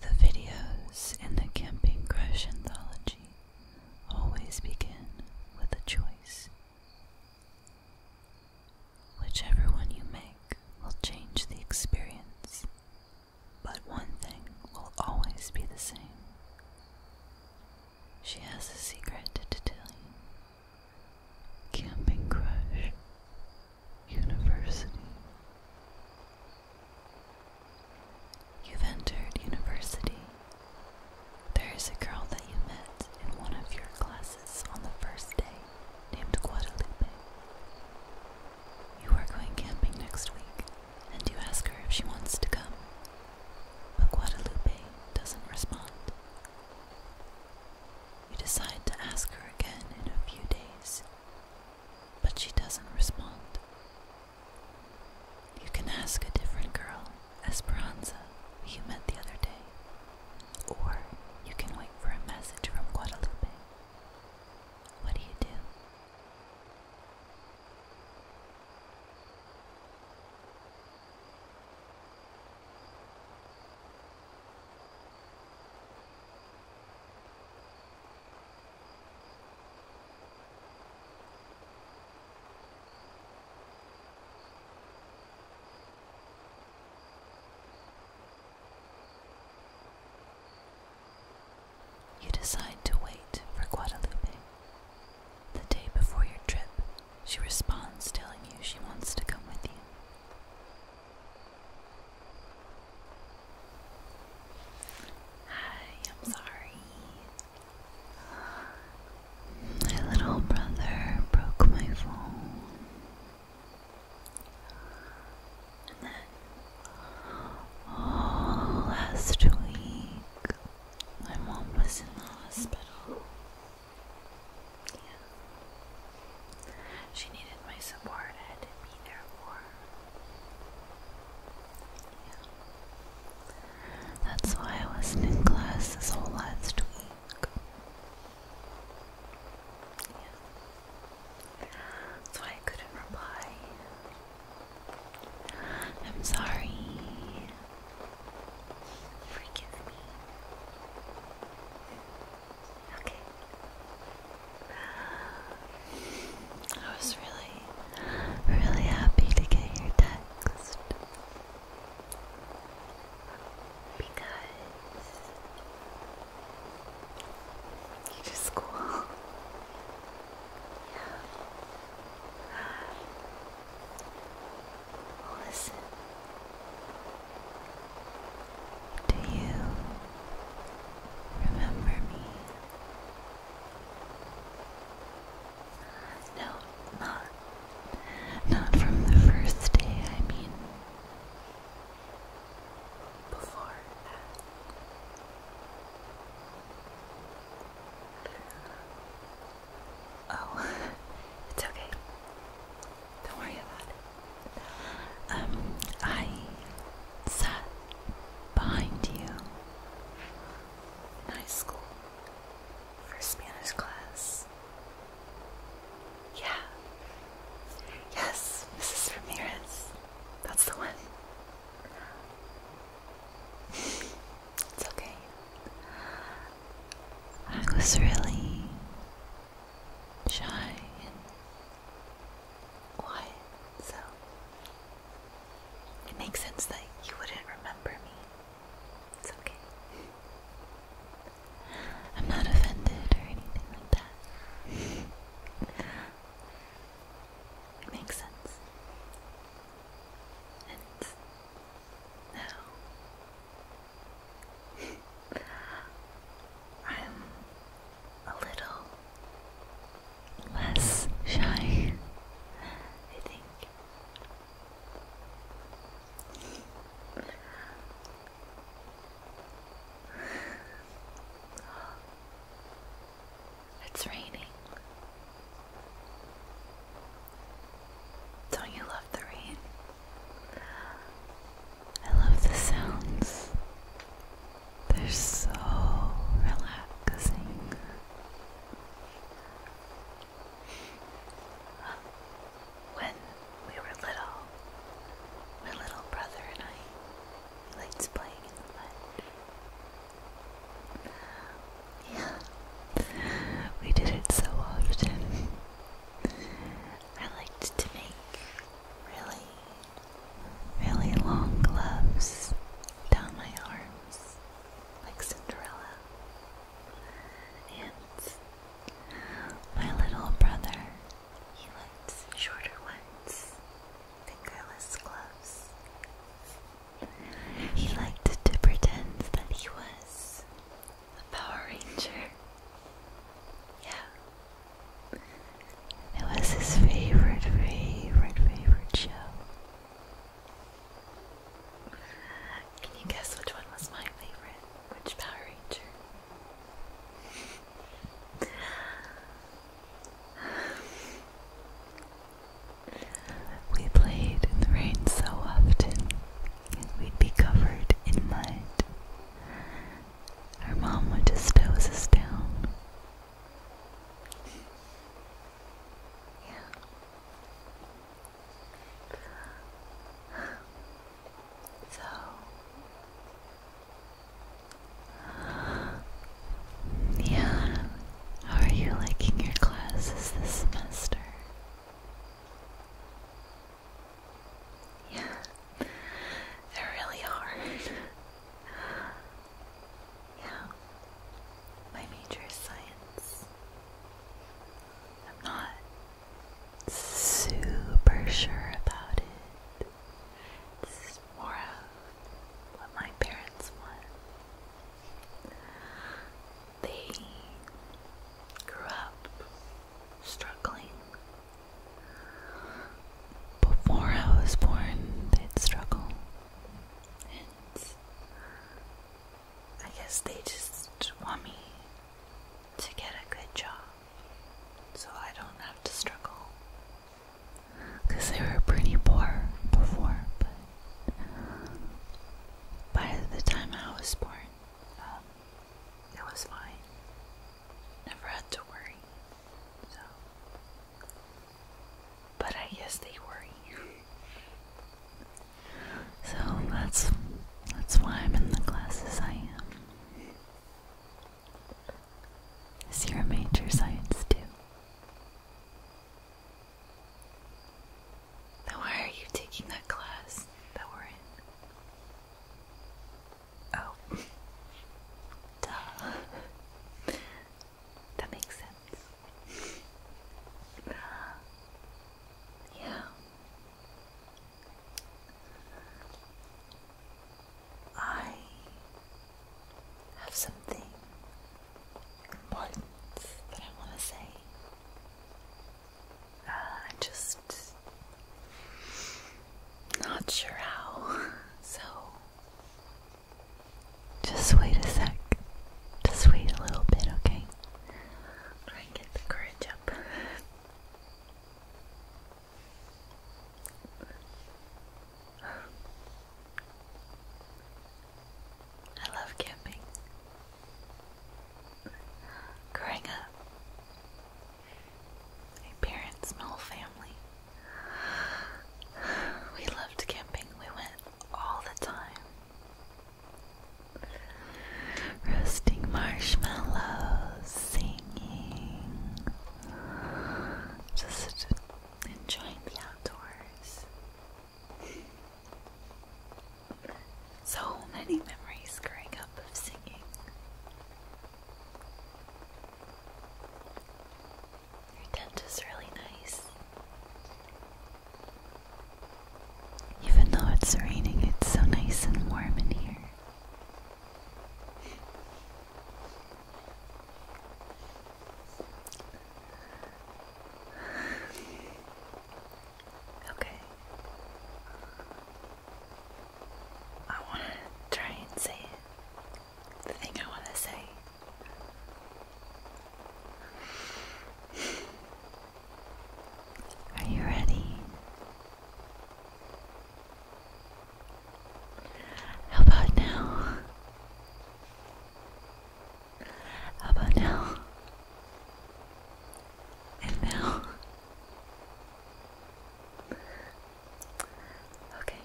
The videos in the Camping Crush anthology always begin with a choice. Whichever one you make will change the experience, but one thing will always be the same. She has a secret to tell you. Camping Crush University. You've entered university. There is a girl that you met in one of your classes on the first day named Guadalupe. You are going camping next week, and you ask her if she wants to come. But Guadalupe doesn't respond. You decide to ask her again in a few days, but she doesn't respond. You can ask a different girl, Esperanza, you met the other day, or you can wait for a message from Guadalupe. What do you do? You decide to wait for Guadalupe. The day before your trip, she responds telling you she wants to come with you. Hi, I'm sorry. My little brother broke my phone. And then, oh, last week, my mom was in the hospital. She needed my support. I had to be there for her. That's why I wasn't in class this whole last week. Yeah. That's why I couldn't reply. I'm sorry. Forgive me. Okay. I was really, really happy to get your text because you just cool. Yeah listen do you remember me no not not from the first day I mean before that Oh, it's okay. Don't worry about it. Um, I sat behind you in high school for Spanish class. Yeah. Yes, Mrs. Ramirez. That's the one. it's okay. I was really shy and quiet, so it makes sense that you wouldn't remember me. It's okay. I'm not offended or anything like that. it makes sense. And now I'm a little less shy, I think. It's raining. Don't you love the rain? I love the sounds. They're so relaxing. When we were little, my little brother and I liked playing in the mud. Yeah, we did it so often. I liked to make really, really long gloves down my arms, like Cinderella. And my little brother, he liked shorter ones, fingerless gloves. He liked to pretend that he was the Power Ranger. Yeah. It was his favorite, favorite, favorite show. Can you guess which one was my favorite? Which Power Ranger? we played in the rain so often and we'd be covered in mud. Our mom would just doze us down. Yeah. So yeah, are you liking your classes this semester? Yeah, they're really hard. yeah, my major is science. I'm not super sure about it. It's more of what my parents want they grew up struggling. Before I was born, they'd struggle. And I guess they just want me to get a good job so I don't have to struggle. Because they were pretty poor before, by the time I was born, um, it was fine. Never had to worry. So, but I guess they worry. so that's that's why I'm in the classes I am. Is your major science too? Then why are you taking that class that we're in? Oh. Duh. that makes sense. yeah. I have something important that I want to say. Uh, I'm just not sure how, so just wait a sec. Just wait a little bit, okay? Try and get the courage up. I love camping. Growing up, a parent small family. We loved camping. We went all the time. Roasting marshmallows, singing, just enjoying the outdoors. So many memories growing up of singing. Your tent is really nice. Even though it's raining, it's so nice and warm in here. Okay. I want to try and say The thing I want to say. Are you ready? How about now? How about now? And now? Okay.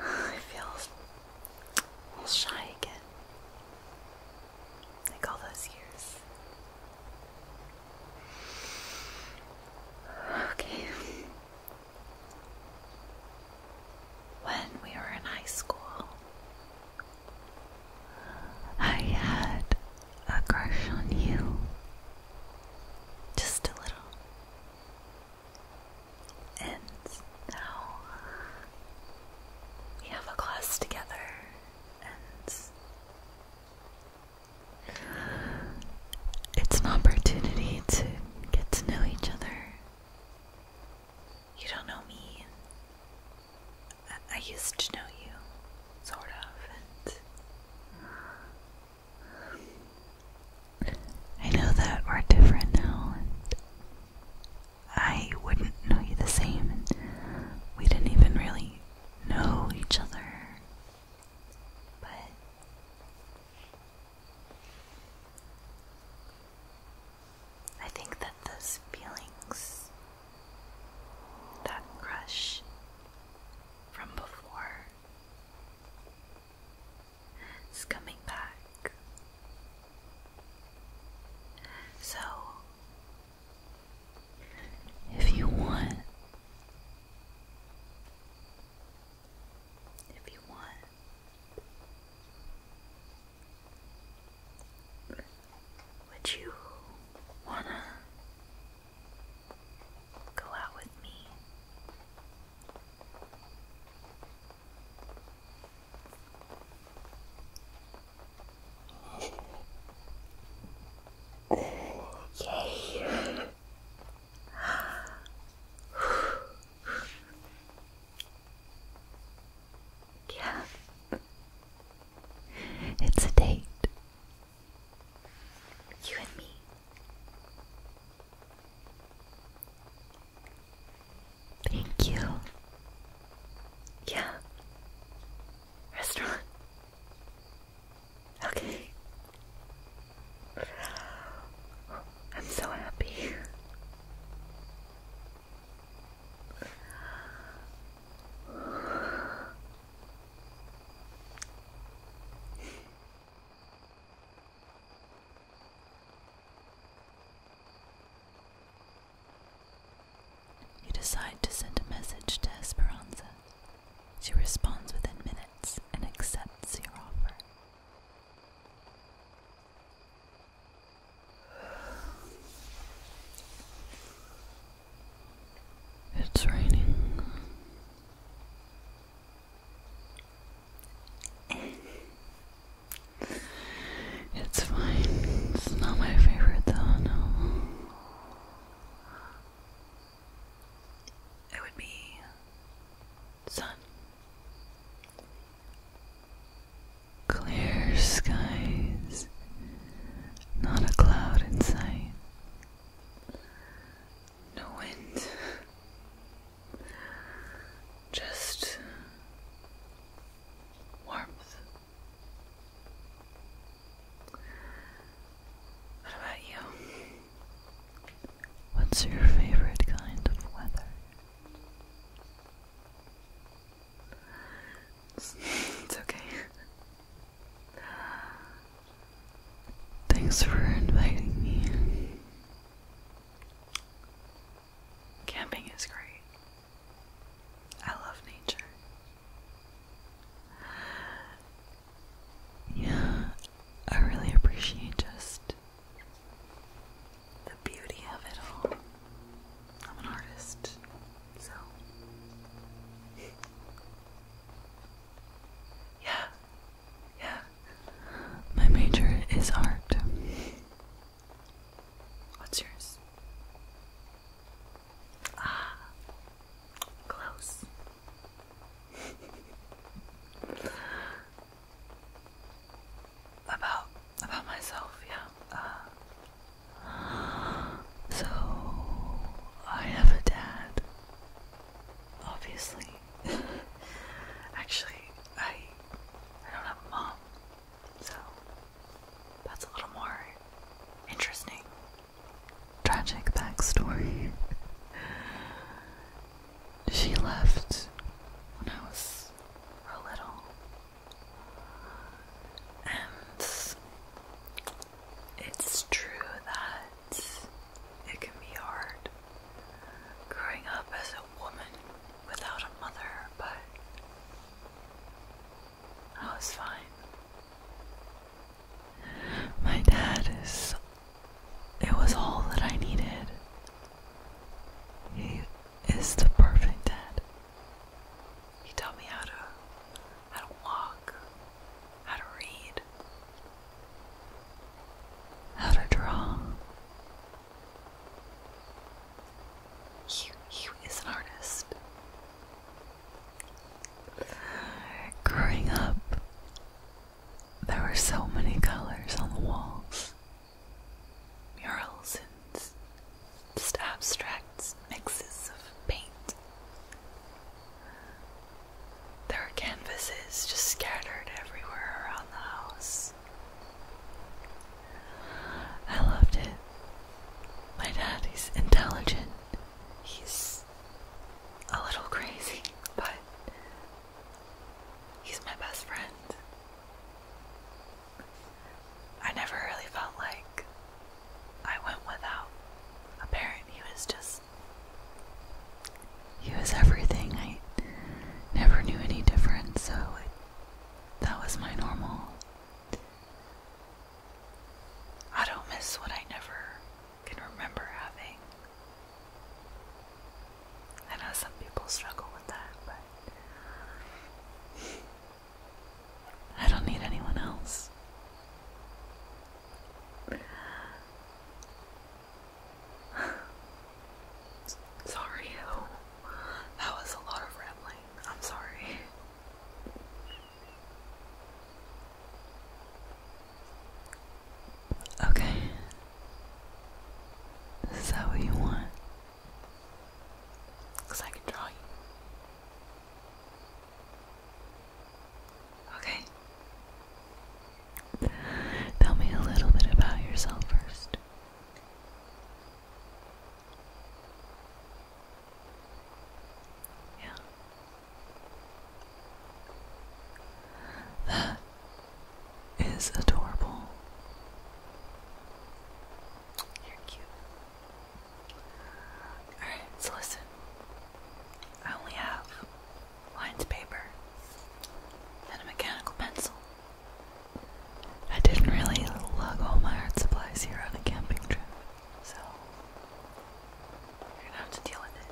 I feel shy again. Like all those years. Okay when we were in high school, I had a crush on you. Just a little. And now we have a class together and it's an opportunity to get to know each other. You don't know me. I, used to know you, sort of, and I know that we're different now, and I wouldn't know you the same, we didn't even really know each other, but I think that those feelings, that crush from before, is coming back. So, if you want, if you want, would you wanna go out with me? Yay. Yeah. It's a date. You and me. Thank you. Yeah. Restaurant. Okay. I'm so happy. You decide to send a message to Esperanza. She responds within minutes and accepts your offer. It's raining. it's fine. It's not my favorite though, no. It would be sun. Clear skies, not a cloud in sight. No wind. Just warmth. What about you? What's your favorite kind of weather? It's, okay. Thanks for inviting me. Camping is great. I love nature. Yeah, I really appreciate just the beauty of it all. I'm an artist, so. Yeah, yeah. My major is art. What's yours? Ah, close. about about myself, yeah. Uh, so I have a dad, obviously. Actually, I I don't have a mom, so that's a little more interesting. Tragic backstory. She left when I was a little, and it's true that it can be hard growing up as a woman without a mother, but I was fine. My dad is it was all that I needed. He is the perfect dad. He taught me how to how to walk, how to read, how to draw. He, he is an artist. Growing up, there were so many colors on the walls murals and just abstracts, mixes of paint. There were canvases just scattered everywhere around the house. I loved it. My dad, he's intelligent. He's a little crazy, but He's my best friend. I never really felt like I went without a parent. He was just. He was everything. I never knew any different, so that was my normal. I don't miss what I never can remember having. I know some people struggle with that, but I don't need anyone else. sorry, oh, that was a lot of rambling. I'm sorry. Okay. Is that what you want? I can draw you. Okay. Tell me a little bit about yourself first. Yeah. That is adorable. You're cute. Alright, so listen. I only have lines paper and a mechanical pencil. I didn't really lug all my art supplies here on a camping trip, so you're gonna have to deal with it.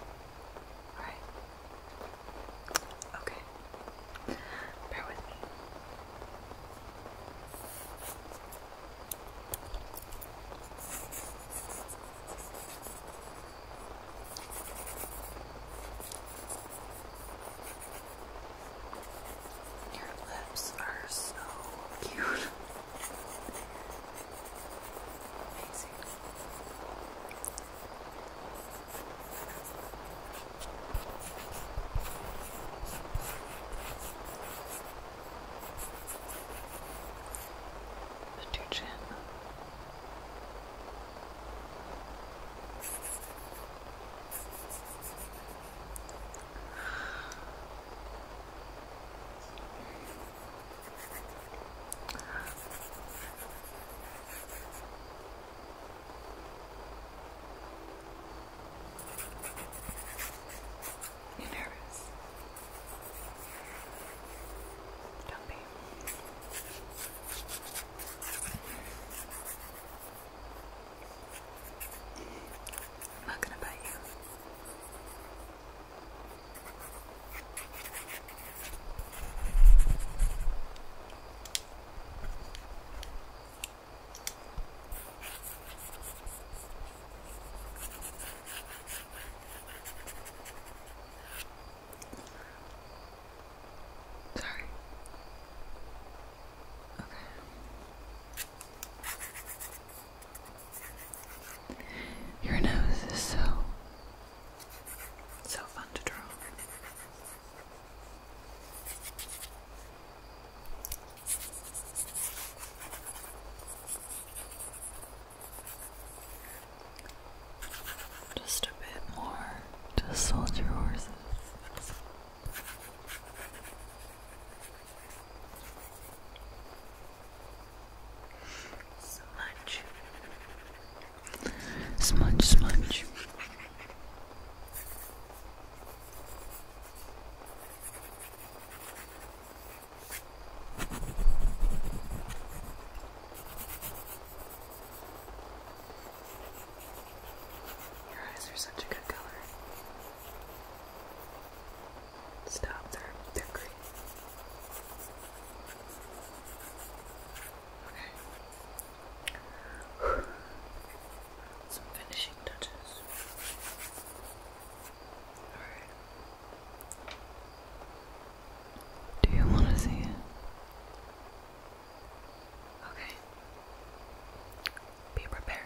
Alright? Okay. Bear with me. Your lips are so cute. And your chin. You nervous? Don't be. I'm not gonna bite you. Sorry. Okay. Your nose is so, so fun to draw. Just a bit more to soldier horses. Smudge. Smudge, smudge. Your eyes are such a good color. Stop, they're, they're green. Okay. Some finishing touches. Alright. Do you want to see Okay. Be prepared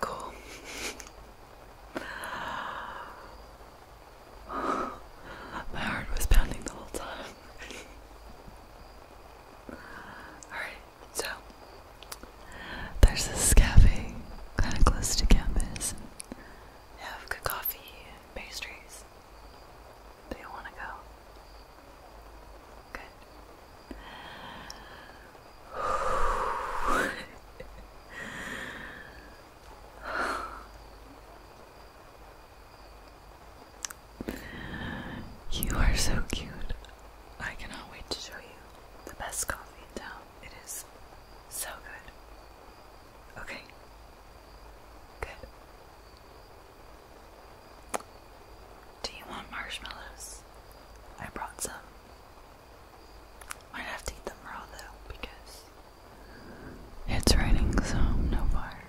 cool. My heart was pounding the whole time. Alright, so there's this cafe kind of close to campus. They have good coffee and pastries. Do you want to go? Good. You are so cute. I cannot wait to show you the best coffee in town. It is so good. Okay. Good. Do you want marshmallows? I brought some. Might have to eat them raw though because it's raining, so no fire.